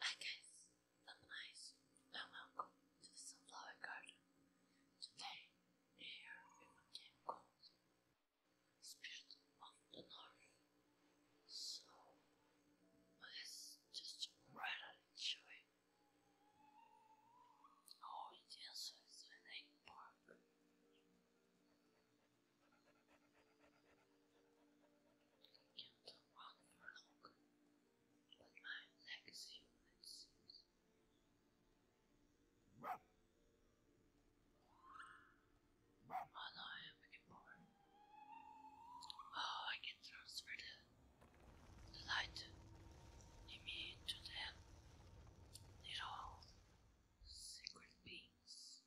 Hi guys, I'm Nice and welcome to the Sunflower Garden. Today, here we have a game called Spirit of the North. So, let's just jump right on Oh, the answer is an you don't walk for long, but my leg is human seems. Oh no, I am anymore. Oh, I can transfer the, the light immediately to them. they secret beings.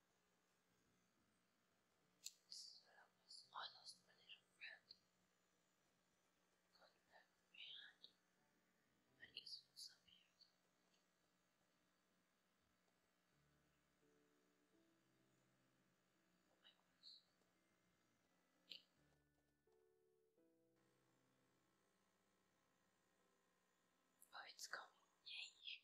I lost my little friend. Got back behind when disappeared. Oh my goodness. Oh, it's coming. Yay!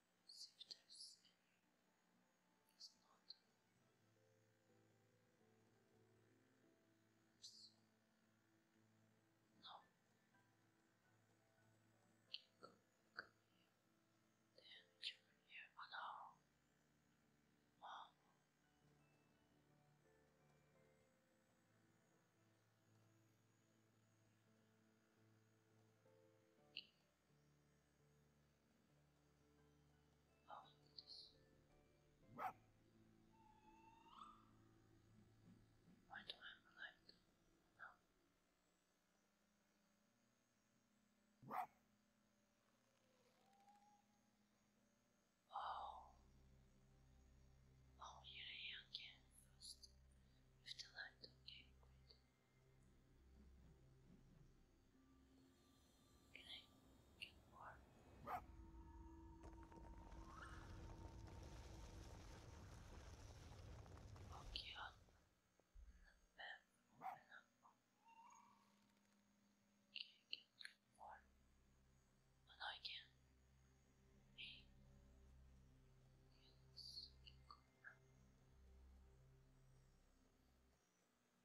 Siftos is not Oops. No. Okay, go, here. Then you here. Oh Oh, look at I have a light. Oh. Oh, here I am again first. With the light, can I Okay, on the map, open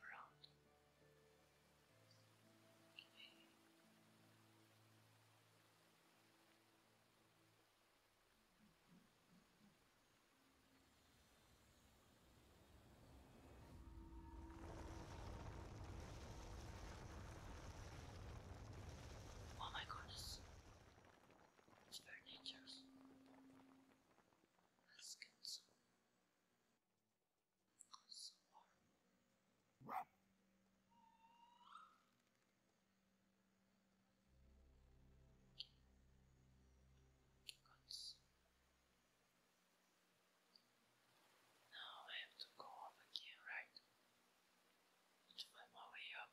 around. Okay. Oh my goodness, it's very dangerous. Let's get some so horrible. Now I have to go up again, right? To find my way up.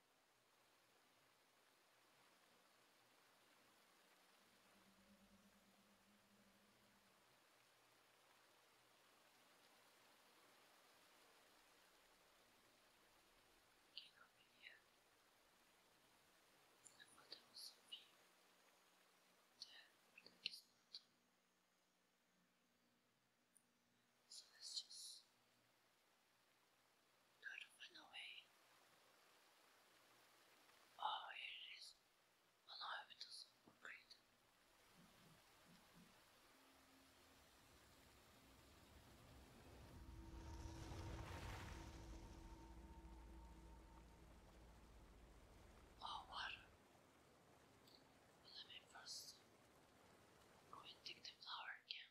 King of India, the father was fear, death that is not. Celestius, don't run away. Oh, here it is. Oh no, it doesn't work great. Oh, water. Well, let me first go and dig the flower again.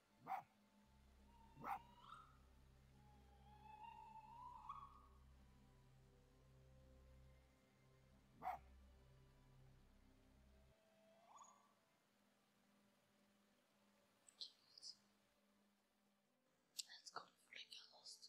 Let's go before I get lost.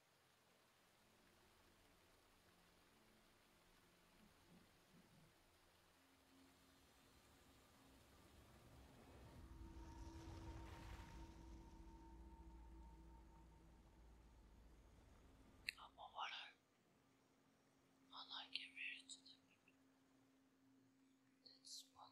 I'm I like it really to That's what.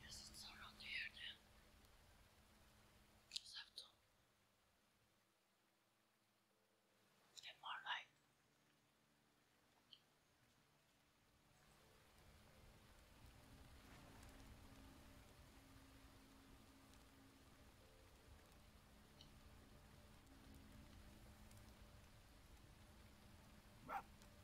Yes, it's around here then. Just have to more light.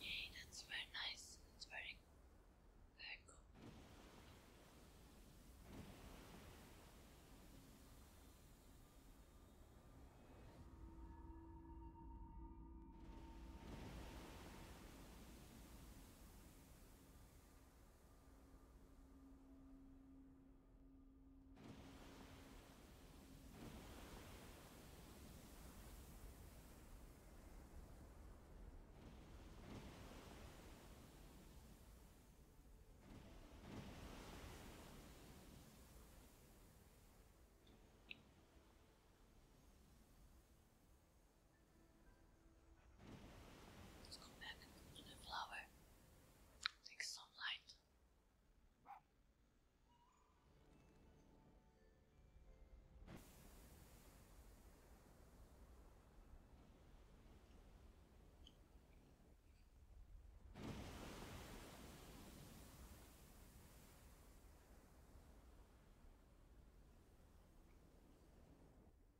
Yay, that's very nice. That's very, very cool. Let's go back to the flower. Take some light.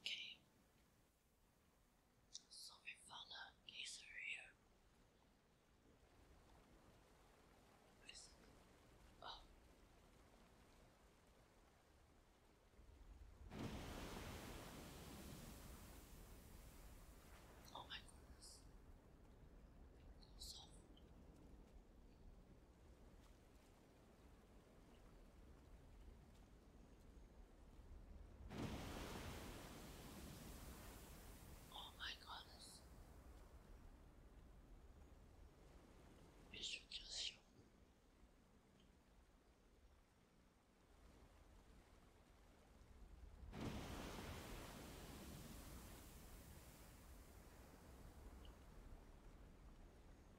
Okay. So we follow this here. Oh. my goodness. It Oh my goodness. We should just shoot.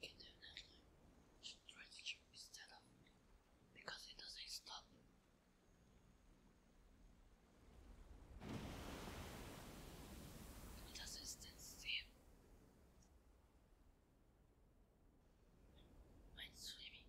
indefinitely stretched instead of because it doesn't stop. It doesn't stand When swimming,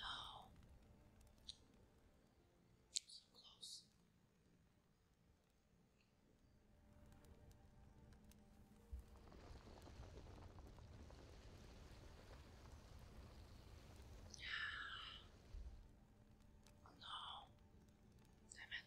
Oh. So close. No. Damn it.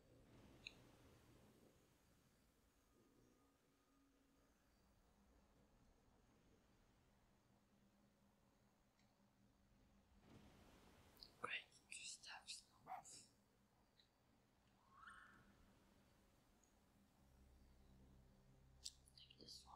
Great Gustav Snorf. Take this one.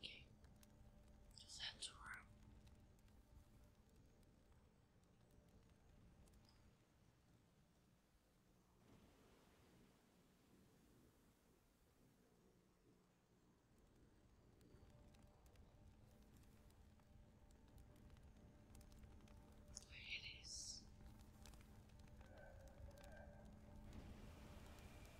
Okay. Just Where it is.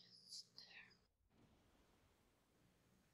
It's there.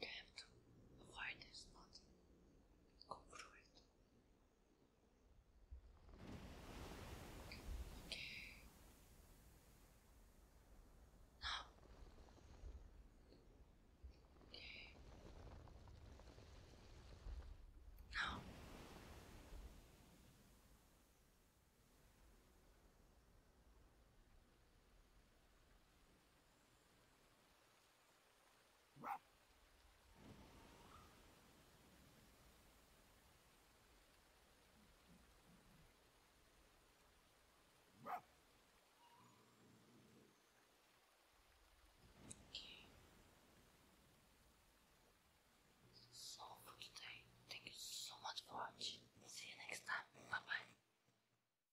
You have to avoid this, not go through it. Okay. Now. Okay. Now. Okay. So today, thank you so much for watching. See you next time. Bye bye.